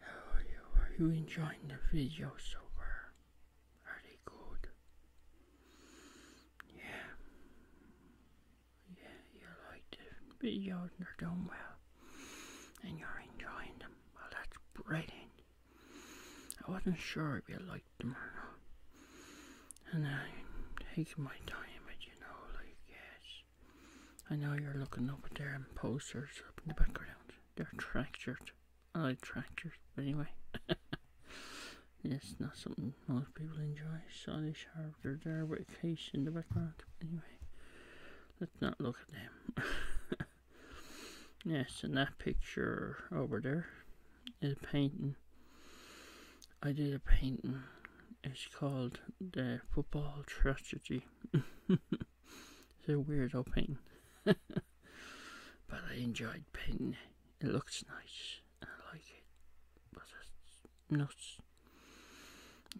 How are you? Are you enjoying the videos so far? Are they good? Yeah. Yeah, you like the videos you are doing well. And you're enjoying them. Well, that's brilliant. I wasn't sure if you liked them or not. And i take my time, but you know, like, yes, I know you're looking up there. their posters up in the background. They're tractors. I like tractors, but anyway. it's not something most people enjoy. Sorry, Sharp, they're there with case in the background. Anyway, let's not look at them. yes, and that picture over there is a painting I did a painting. It's called the Football Tragedy. it's a weird old painting, but I enjoyed painting. It looks nice. I like it, but it's nuts.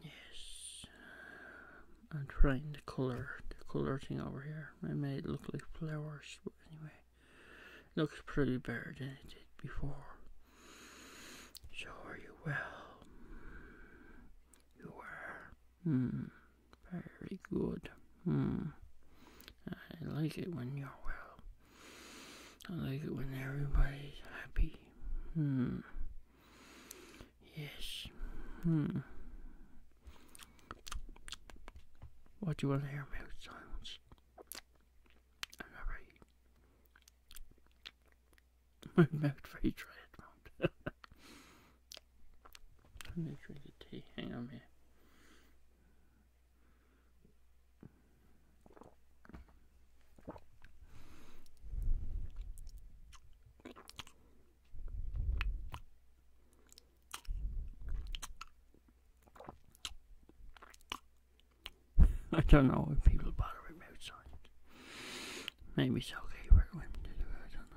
Yes, I'm trying the color, the color thing over here. I made it look like flowers, but anyway, looks pretty better than it did before. Sure, you will. You were. Hmm. very good. Hmm. I like it when you're well. I like it when everybody's happy. Hmm. Yes. What do you want to hear about silence? I'm right remote for each Redmond. I'm gonna drink a tea. Hang on here. I don't know if people bother with mood signs. Maybe it's okay for women to do it, I don't know.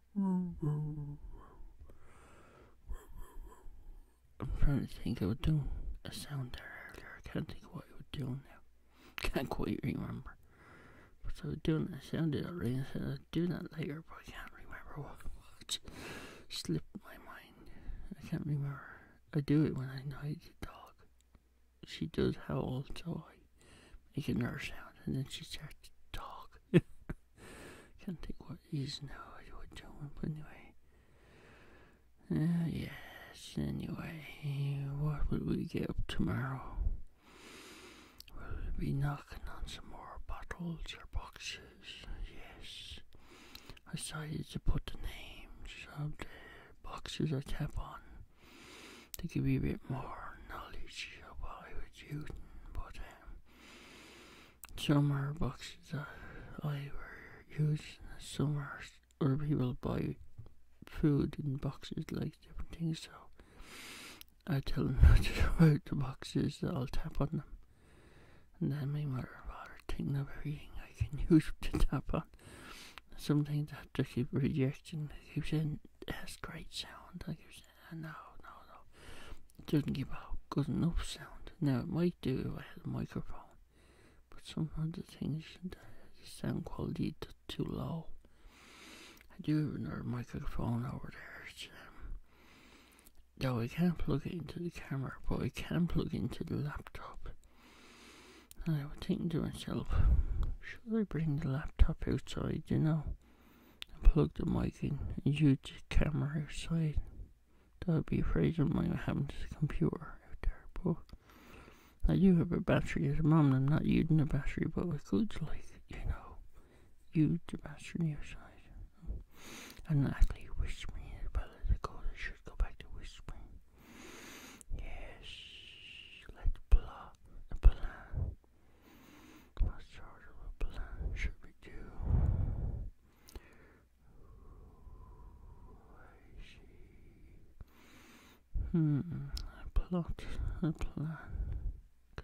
I'm trying to think I was doing a sound there earlier. I can't think what I was doing now. Can't quite remember. But I was doing that sound there earlier. said I'd do that later, but I can't remember what what slipped my mind. I can't remember. I do it when I know the dog. She does howl, so I making her sound, and then she starts to talk. Can't think what he's now, I doing, but anyway. Uh, yes, anyway, what would we get up tomorrow? Will we be knocking on some more bottles or boxes? Yes. I decided to put the names of the boxes I tap on to give you a bit more knowledge about I was using, but um, some are boxes that I were using, some are other people buy food in boxes like different things, so I tell them not to throw out the boxes, I'll tap on them, and then my mother and father think of thing I can use to tap on. Something that to keep rejection. It saying that's great sound. i keeps in, no, no, no. It doesn't give out good enough sound. Now it might do if I had a microphone, but sometimes the things the sound quality too low. I do have another microphone over there. It's, um, though I can't plug it into the camera, but I can plug it into the laptop. And I was thinking to myself, I bring the laptop outside, you know? And plug the mic in and use the camera outside. That would be afraid of mine having this computer out there, but I do have a battery at the and I'm not using the battery, but with could like, you know, use the battery outside. And actually whispering as well as I go, I should go back to whispering. Yes, let's plot a plan. What's charge of a plan should we do? Hmm, a plot, a plan.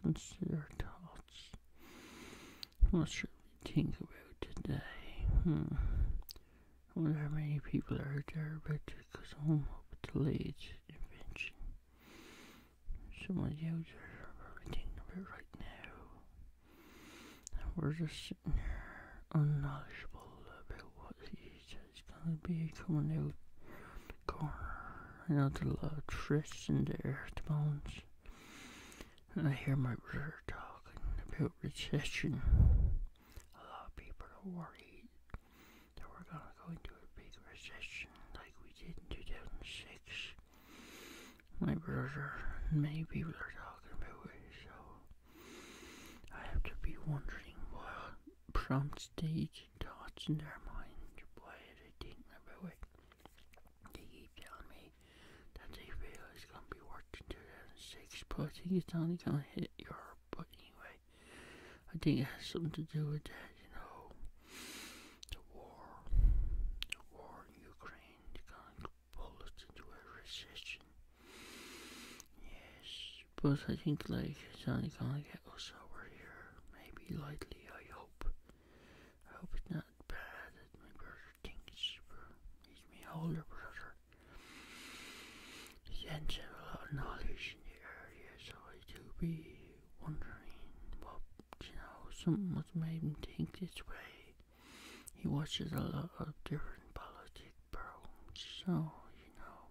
Consider thoughts. What should we think about today? Hmm. I wonder how many people are there, but because home will delay late, invention. Someone out there everything of it right now. And we're just sitting here unknowledgeable about what is gonna be coming out the corner. I know there's a of trysts in the earth bones. And I hear my brother talking about recession a lot of people are worried that we're going to go into a big recession like we did in 2006. My brother, many people are talking about it, so I have to be wondering what prompts stage thoughts in their mind, why are they thinking about it? They keep telling me that they feel it's going to be worse than 2006, but I think it's only going to hit Europe but anyway, I think it has something to do with that, you know, the war, the war in Ukraine, the kind of pulled us into a recession. Yes, but I think like it's only gonna get us over here, maybe lightly. I hope. I hope it's not bad that my brother thinks he's my older brother here. The ends a lot of knowledge in the area, so I do be wondering what, you know, something was made him think this way. He watches a lot of different politic programs, so, you know,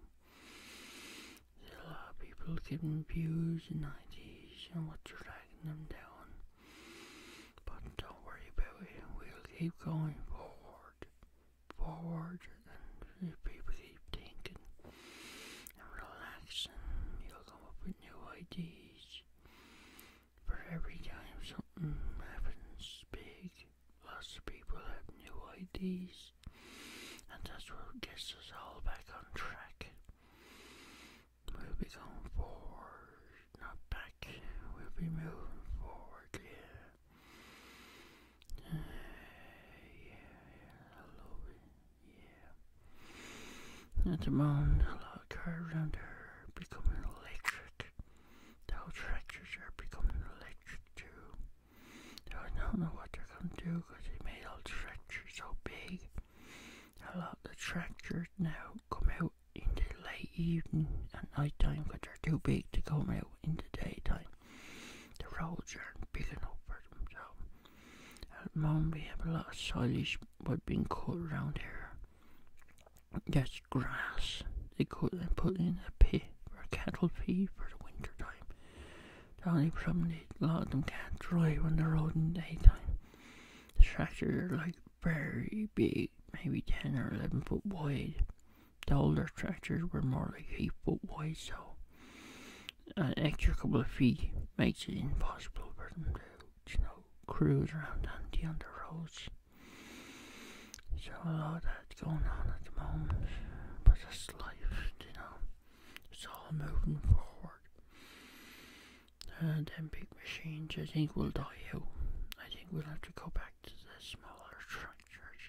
there's a lot of people giving views and ideas and you're dragging them down. But don't worry about it, we'll keep going forward forward, forward, and keep thinking and relaxing. You'll come up with new ideas. But every time something happens big, lots of people have new ideas, and that's what gets us all back on track. We'll be going forward, not back. We'll be moving forward, yeah yeah, yeah, I a lot of cars out there becoming electric. The whole tractors are becoming electric too. Now don't know what they're do because they made the tractors so big. A lot of tractors now come out in the late evening and night time because they're too big to come out in the daytime. The roads aren't big enough for them, so at the moment we have a lot of silage what been cut around here. That's grass they cut and put in a pit for cattle feed for the winter time. The only problem is a lot of them can't drive on the road in the daytime. The tractors are like very big, maybe 10 or 11 foot wide. The older tractors were more like 8 foot wide, so an extra couple of feet makes it impossible for them to, cruise around on the underroads. So a lot of that's going on at the moment, but that's life, you know. It's all moving forward. And then big machines, I think, will die out. I think we'll have to go back the smaller structures.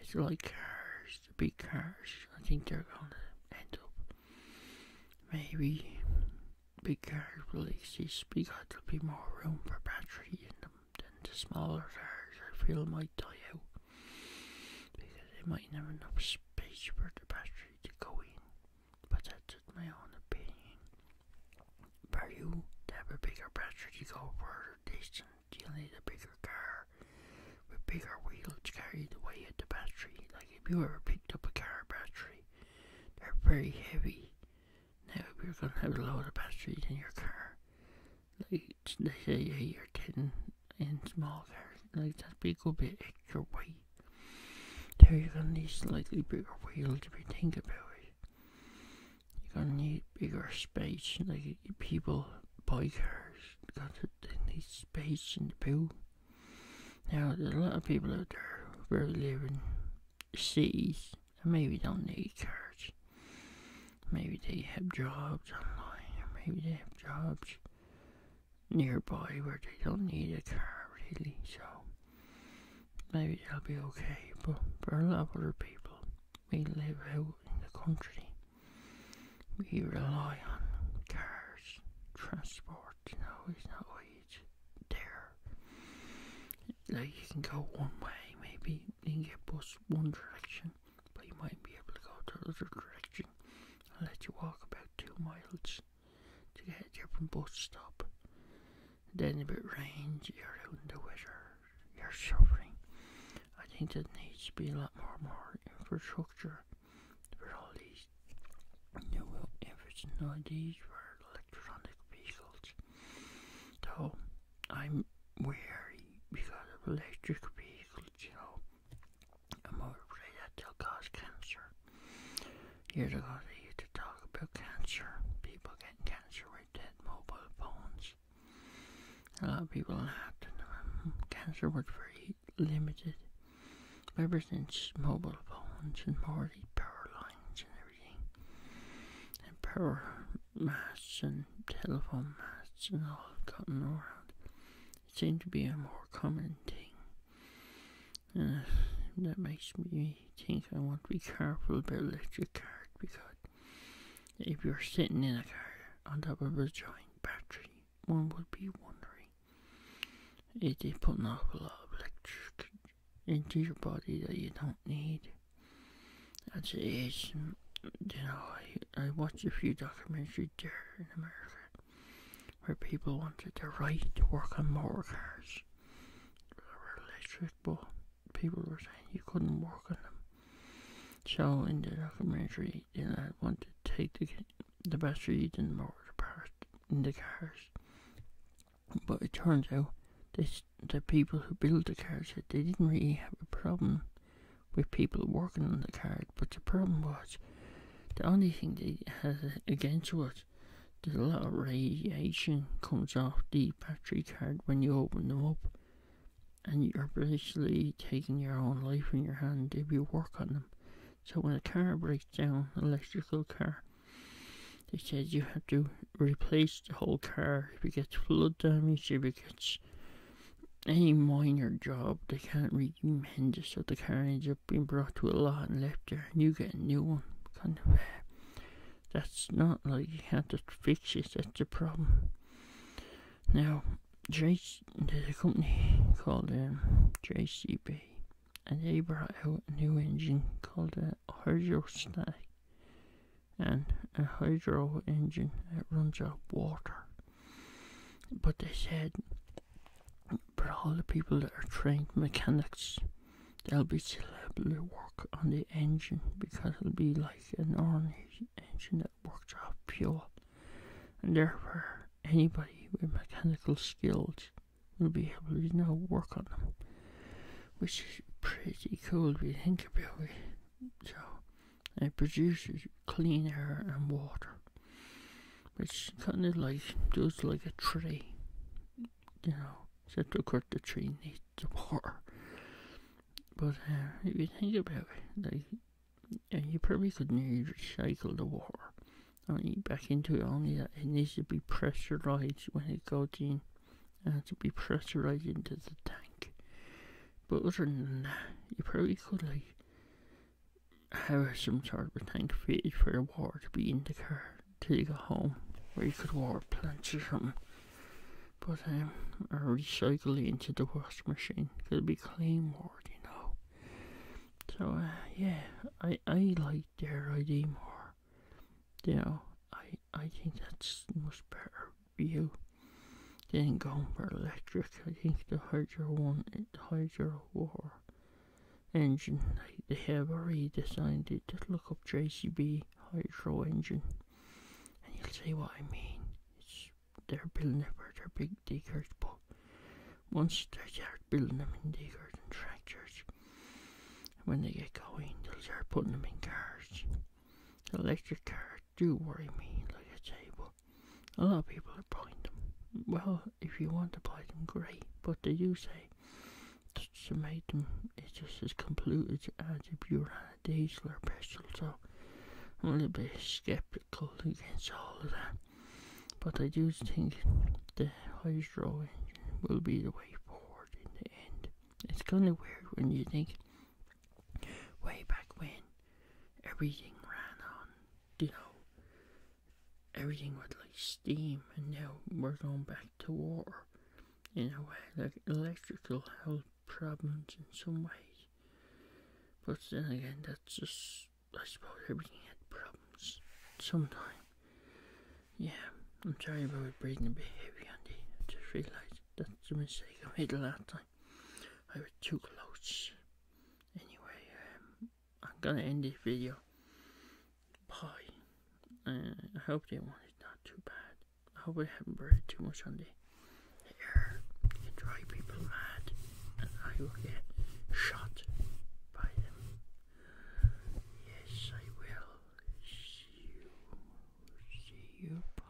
It's really cars, the big cars. I think they're going to end up maybe big cars will exist because there'll be more room for battery in them than the smaller cars. I feel might die out because they might never have enough space for the battery to go in. But that's just my own opinion. But you have a bigger battery, you go further distance. You'll need a bigger car with bigger wheels to carry the weight of the battery. Like if you ever picked up a car battery, they're very heavy. Now if you're gonna have a load of batteries in your car, like they say yeah, you're getting in small cars, like a big bit be extra weight. There you're going need slightly bigger wheels to be think about it. You're gonna need bigger space, like people, bikers, gotta, they need space in the pool. Now, there's a lot of people out there who are living cities maybe don't need cars. Maybe they have jobs online, or maybe they have jobs nearby where they don't need a car really. So, maybe it'll be okay, but for a lot of other people, we live out in the country. We rely on cars, transport, you know, it's not always there. Like, you can go one way, maybe you can get bus one direction, but you might be able to go the other direction I'll let you walk about two miles to get you from bus stop. Then if it rains, you're out in the weather, you're suffering. I think there needs to be a lot more more infrastructure for all these new efforts and ideas for electronic vehicles. Though I'm wary because of electric vehicles, you know. I'm afraid that they'll cause cancer. Years ago, they used to talk about cancer, people getting cancer with dead mobile phones. A lot of people laughed um, Cancer was very limited. Ever since mobile phones and more power lines and everything, and power masts and telephone masts and all gotten around, it seemed to be a more common thing. that makes me think I want to be careful about electric cars because if you're sitting in a car on top of a giant battery, one would be wondering if they putting off a lot of electric into your body that you don't need. That's it is, you know, I, I watched a few documentaries there in America where people wanted to write to work on motor cars. They were electric, but people were saying you couldn't work on them. So in the documentary, they wanted to take the the batteries motor apart in the cars. But it turns out that the people who built the cars said they didn't really have a problem with people working on the cars, but the problem was the only thing they had against was there's a lot of radiation comes off the battery card when you open them up, and you're basically taking your own life in your hand if you work on them. So when a car breaks down, electrical car, they said you have to replace the whole car. If it gets flood damage, if it gets any minor job, they can't re weak men just so the carnage have been brought to a lot and left there and you get a new one kind of that's not like you can't just fix it that's the problem now there's a company called JCB um, and they brought out a new engine called a hydrostatic and a hydro engine that runs out water but they said but all the people that are trained mechanics, they'll be still able to work on the engine because it'll be like an ornery engine that works off fuel, and therefore anybody with mechanical skills will be able to now work on them, which is pretty cool if you think about it. So, it produces clean air and water it's kind of like just like a tree, you know. Except to cut the tree needs the water. But uh, if you think about it, you probably could nearly recycle the water only back into it. Only that it needs to be pressurized when it goes in, and uh, to be pressurized into the tank. But other than that, you probably could like have some sort of tank feed for the water to be in the car till you go home, where you could water plants or something. But um, I recycle it into the wash machine. It'll be clean water, you know. So uh, yeah, I I like their idea more. You know, I I think that's much better view than going for electric. I think the hydro one, the hydro Major War engine. They have redesigned it. Just look up JCB hydro engine and you'll see what I mean. they're building them for their big diggers, but once they start building them in diggers and tractors, when they get going, they'll start putting them in cars. electric cars do worry me, Look at say, but a lot of people are buying them. Well, if you want to buy them, great. But they do say to make them is just as complete as a bureau diesel or petrol. So I'm a little bit skeptical against all of that. But I do think the hydro engine will be the way forward in the end. It's kind of weird when you think way back when everything ran on, you know, everything was like steam, and now we're going back to water in a way, like electrical health problems in some ways. But then again, that's just, I suppose, everything had problems sometimes. Yeah, I'm sorry about breathing a bit heavy on I just realised that's a mistake I made last time. I was too close anyway, um, I'm gonna end this video. Bye. I hope that one is not too bad. I hope I haven't brought too much on the air. can drive people mad, and I will get shot by them. Yes, I will. See you. See you. Bye.